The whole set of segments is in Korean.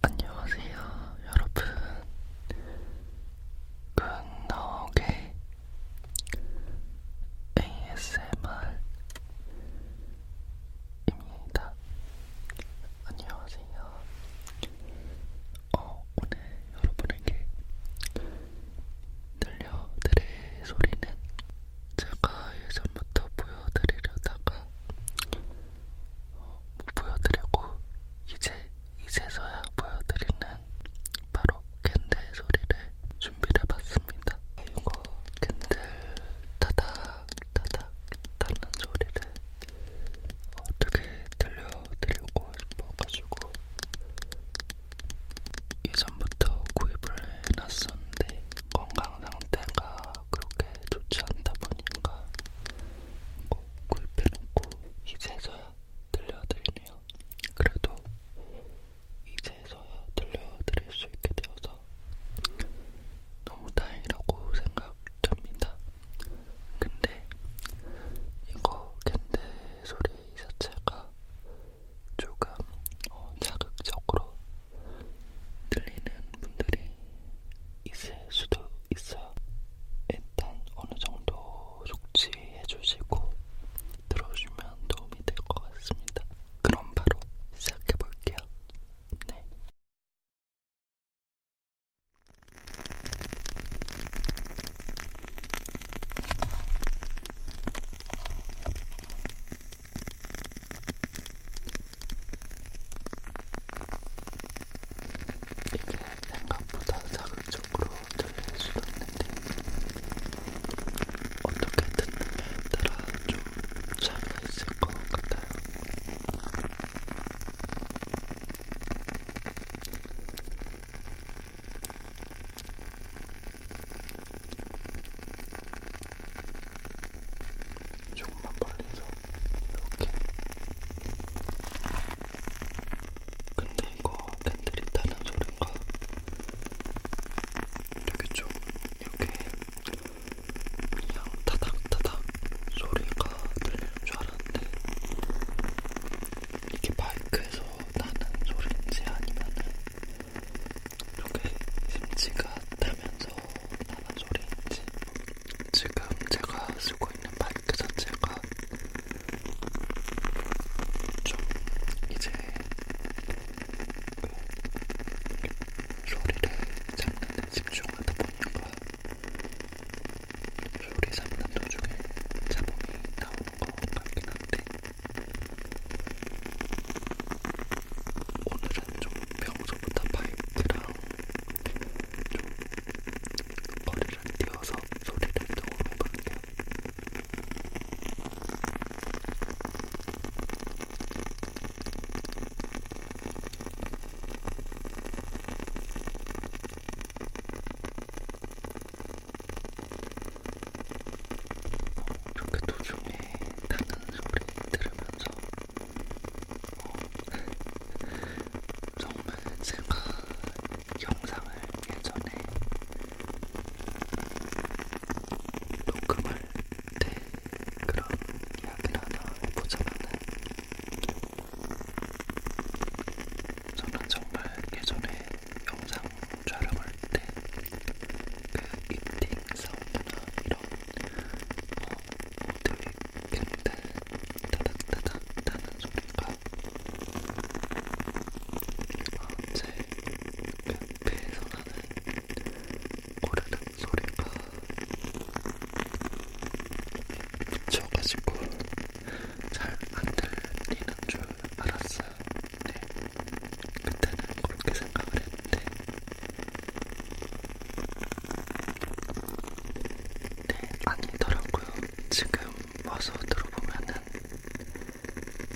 안녕하세요 여러분 굿나오게 ASMR입니다 안녕하세요 어, 오늘 여러분에게 들려드릴 소리는 제가 예전부터 보여드리려다가 보여드리고 이제 이제서야 보여드리는 바로 캔들 소리를 준비해봤습니다. 이거 캔들 타닥 타닥 타는 소리를 어떻게 들려드리고 싶어가지고 예전부터 구입을 해놨었는데 건강 상태가 그렇게 좋지 않다 보니까 꼭 구입해놓고 이제서야 들려드리네요. 그래도 이제서야 들려드릴 수 있게 되어서 너무 다행이라고 생각됩니다. 근데 이거 캔데 소리 자체가 조금 어, 자극적으로 들리는 분들이 있을 수도 있어요. 일단 어느 정도 숙지해 주시고 들어주면 도움이 될 것 같습니다. 그럼 바로 시작해 볼게요. 네. 이게 생각보다 자극적으로 들릴 수도 있는데 어떻게 듣느냐에 따라 좀 차이가 있을 것 같아요. 조금만 벌리서 이렇게. 근데 이거 팬들이 다른 소리인가? 이렇게 좀 이렇게 그냥 타닥타닥 소리가 들리는 줄 알았는데 이게 마이크에서 나는 소리인지 아니면은 이렇게 심지가 타면서 나만 소리인지 지금 제가 쓰고 있는 마이크 자체가 좀 이제 그 소리를 잡는 데 집중하다 보니까 소리 잡는 도중에 잡음이 나오는 것 같긴 한데 오늘은 좀 평소보다 바이크랑 좀 머리를 띄워서 소리를 조금 해볼게요. 어, 이렇게 도중에 타는 소리 들으면서 어, 정말 제가 영상을 예전에 녹음할 때 그런 이야기를 하나 해보자면은 저는 정말 예전에 영상 촬영을 때, 그 이팅 사운드나 이런 어, 모드의 캔들 따닥따닥 따는 소리가 어, 제 배에서 나는 오르는 소리가 미쳐가지고 잘 안 들리는 줄 알았어요. 네. 그때는 그렇게 생각을 했는데, 네, 아니더라고요. 지금 와서 들어보면은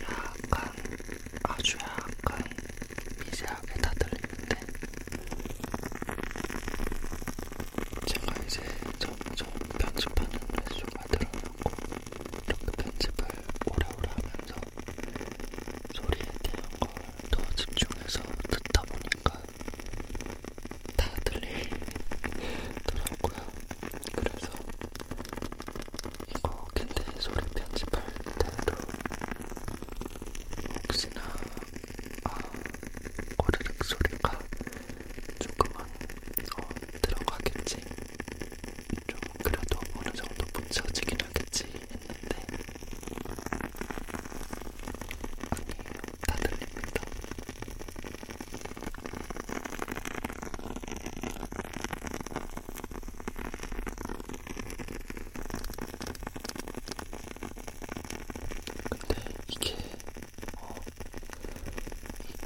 약간, 아주 약간 미세하게 다 들리는데, 제가 이제 점점 편집하는 횟수가 늘어났고 이렇게 편집을 오래오래 하면서 소리에 대한 걸 더 집중해서 듣다 보니까 다 들리더라고요. 그래서 이거 근데 소리 편집할 때도 혹시나 아, 꼬르륵 소리가 조금만 어, 들어가겠지 좀 그래도 어느 정도 붙여지긴 하겠지 했는데 아니에요. 다 들립니다. 근데 이게 어, 이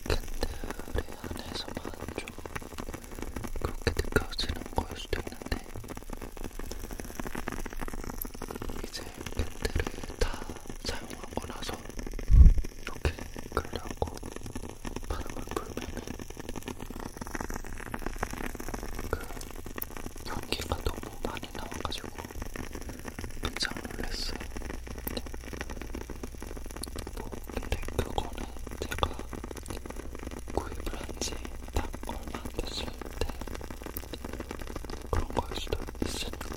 캔들의 안에서만 좀 그렇게 느껴지는 거일 수도 있는데 이제 밴드를 다 사용하고 나서 이렇게 끌려고 바람을 불면은 그 연기가 너무 많이 나와가지고 깜짝 놀랐어요. 뭐 근데 그거는 제가 구입을 한지딱 얼마 안 됐을 때 그런 거일 수도 있으니까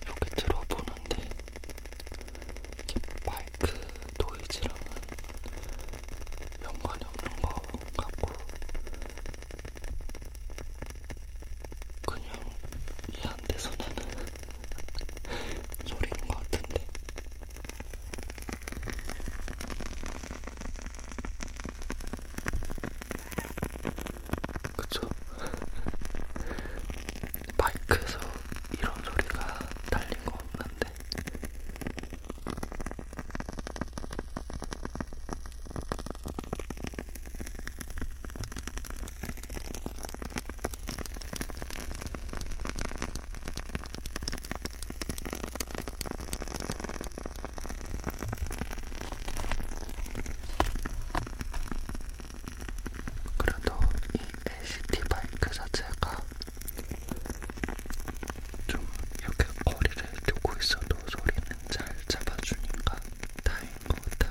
이렇게 들어보는데 마이크 노이즈랑은 연관이 없는 것 같고 그냥 이안돼서 나는 소리인 것 같은데 그쵸? 마이크에서 이런 소리가 달린 거 없는데. 그래도 이 LCT 바이크 자체가 좀 이렇게 거리를 두고 있어도 소리는 잘 잡아주니까 다행인 것 같아요.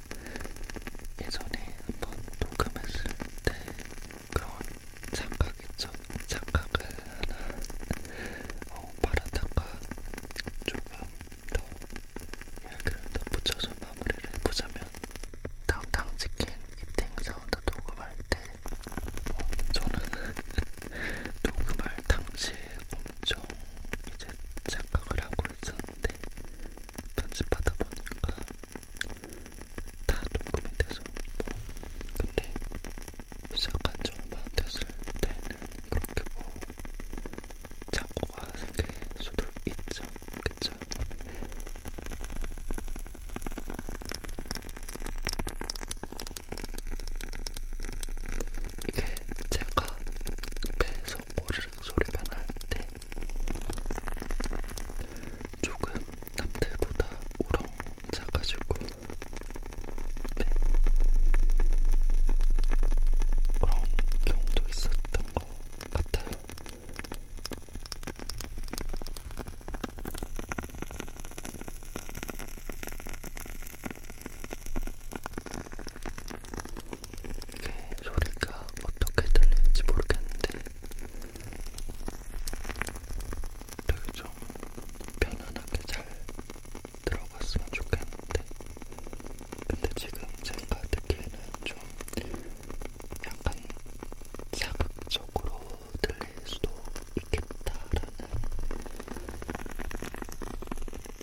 예전에 한 번 녹음했을 때 그런 착각 있죠? 착각을 하나 어, 말하다가 조금 더 이야기를 덧붙여서 마무리를 해보자면 탕탕치킨 이팅 사운드 녹음할 때 어, 저는 녹음할 당시에 엄청 이제 착각을 하고 있었는데 편집하다 보니까 다 녹음이 돼서 뭐 근데 시작한 지 얼마 안 됐을 때는 그렇게 뭐 착오가 생길 수도 있죠. 그쵸? 이게 제가 배에서 오르륵 소리가 날때 조금 남들보다 우렁 작아지고 네. 그런 경우도 있었던 것 같아요. 이게 소리가 어떻게 들릴지 모르겠는데 되게 좀 편안하게 잘 들어갔으면 좋겠는데 근데 지금 제가 듣기에는 좀 약간 자극적으로 들릴 수도 있겠다라는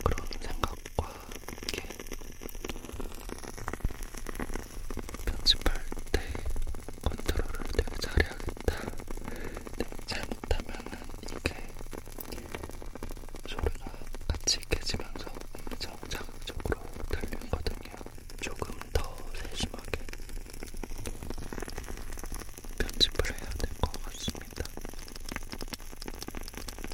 그런 생각과 이렇게 편집할 때 컨트롤을 되게 잘해야겠다. 네, 잘못하면은 이게 소리가 같이 깨지면서 엄청 자극적으로 들리거든요. 조금 더 세심하게 편집을 해야 될 것 같습니다.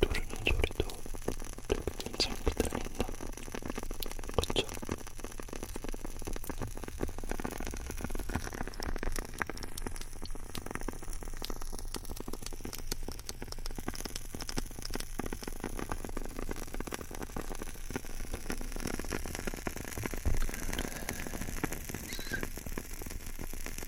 누르는 소리도 되게 괜찮게 들린다. 그쵸?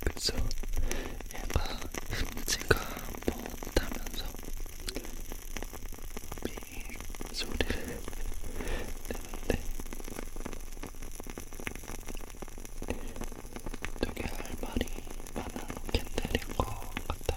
그래서 얘가 흠지가 못하면서 미 소리를 내는데 되게 할 말이 많은 캔들인 것 같아.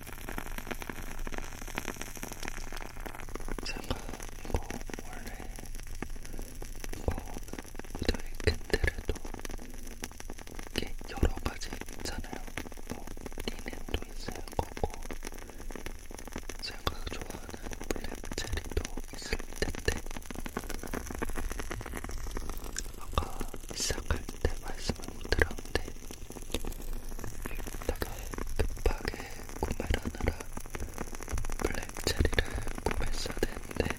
제가 이거 원래 이거 무더위 캔들에도 이게 여러 가지 있잖아요. 뭐 리넨도 있을 거고 제가 좋아하는 블랙체리도 있을 텐데 아까 시작할 때 말씀을 못 드렸는데 다가 급하게 구매를 하느라 블랙체리를 구매했어야 되는데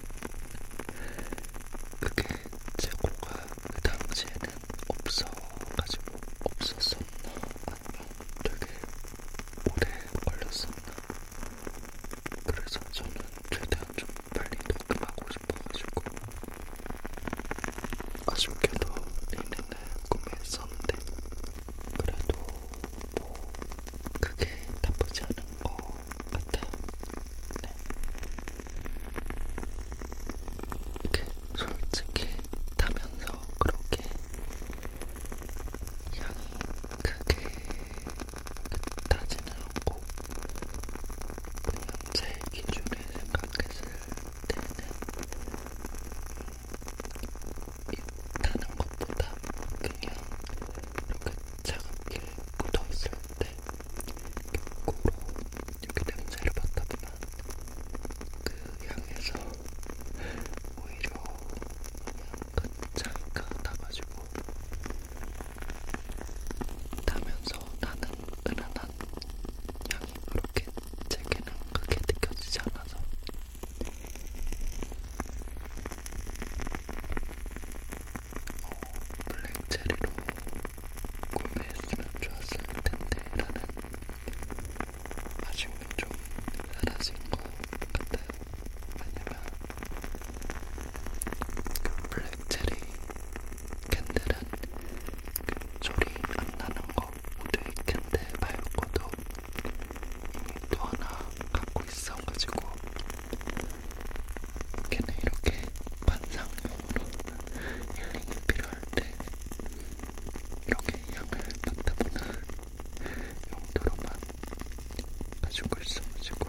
그게 재고가 그 당시에는 없어가지고 없었었나 아니면 되게 오래 걸렸었나 그래서 저는 최대한 좀 빨리 녹음하고 싶어가지고 아쉽게도 리는을 구매했었는데 그래도 뭐 그게 나쁘지 않은 것 같아요. 네. 이게 솔직히 타면서 그렇게 양이 크게 나지는 않고 그냥 제 기준에 생각했을 때는 타는 것보다 그냥 이렇게 차갑게 굳어있을 때 거꾸로 이렇게 냄새를 맡다 보면 그 향에서 오히려 약간 차이가 나가지고 타면서 나는 항상 은은한 향이 그렇게 제게는 크게 느껴지지 않아서 어, 블랙체리로 구매했으면 좋았을 텐데 라는 아쉬움이 좀 사라진 것 같아요. 왜냐면 그 블랙체리 캔들은 그 소리 안 나는 거 우드의 캔들 말고도 이미 또 하나 갖고 있어가지고 걔는 이렇게 반상용으로 힐링이 필요할 때 이렇게 약을 받다보는 용도로만 가지고 있어가지고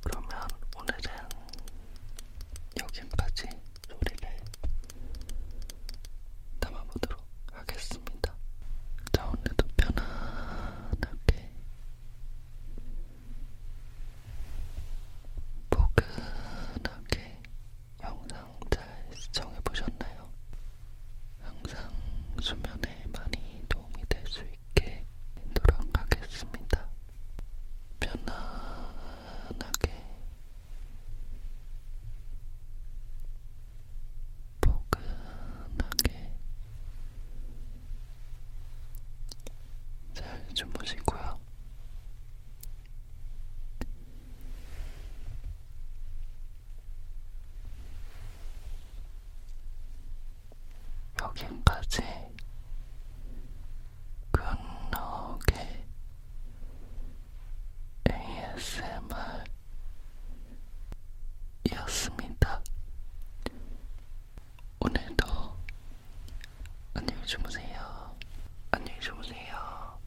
그러면 오늘은 여기까지 소리를 담아보도록 하겠습니다. 자, 오늘도 편안하게 포근하게 영상 잘 시청해보셨나요? 항상 수면에 많이 도움이 될 수 있게 노력하겠습니다. 편안하게 포근하게 잘 주무시고요. 여긴까지 끝나게 ASMR이었습니다. 오늘도 안녕히 주무세요. 안녕히 주무세요.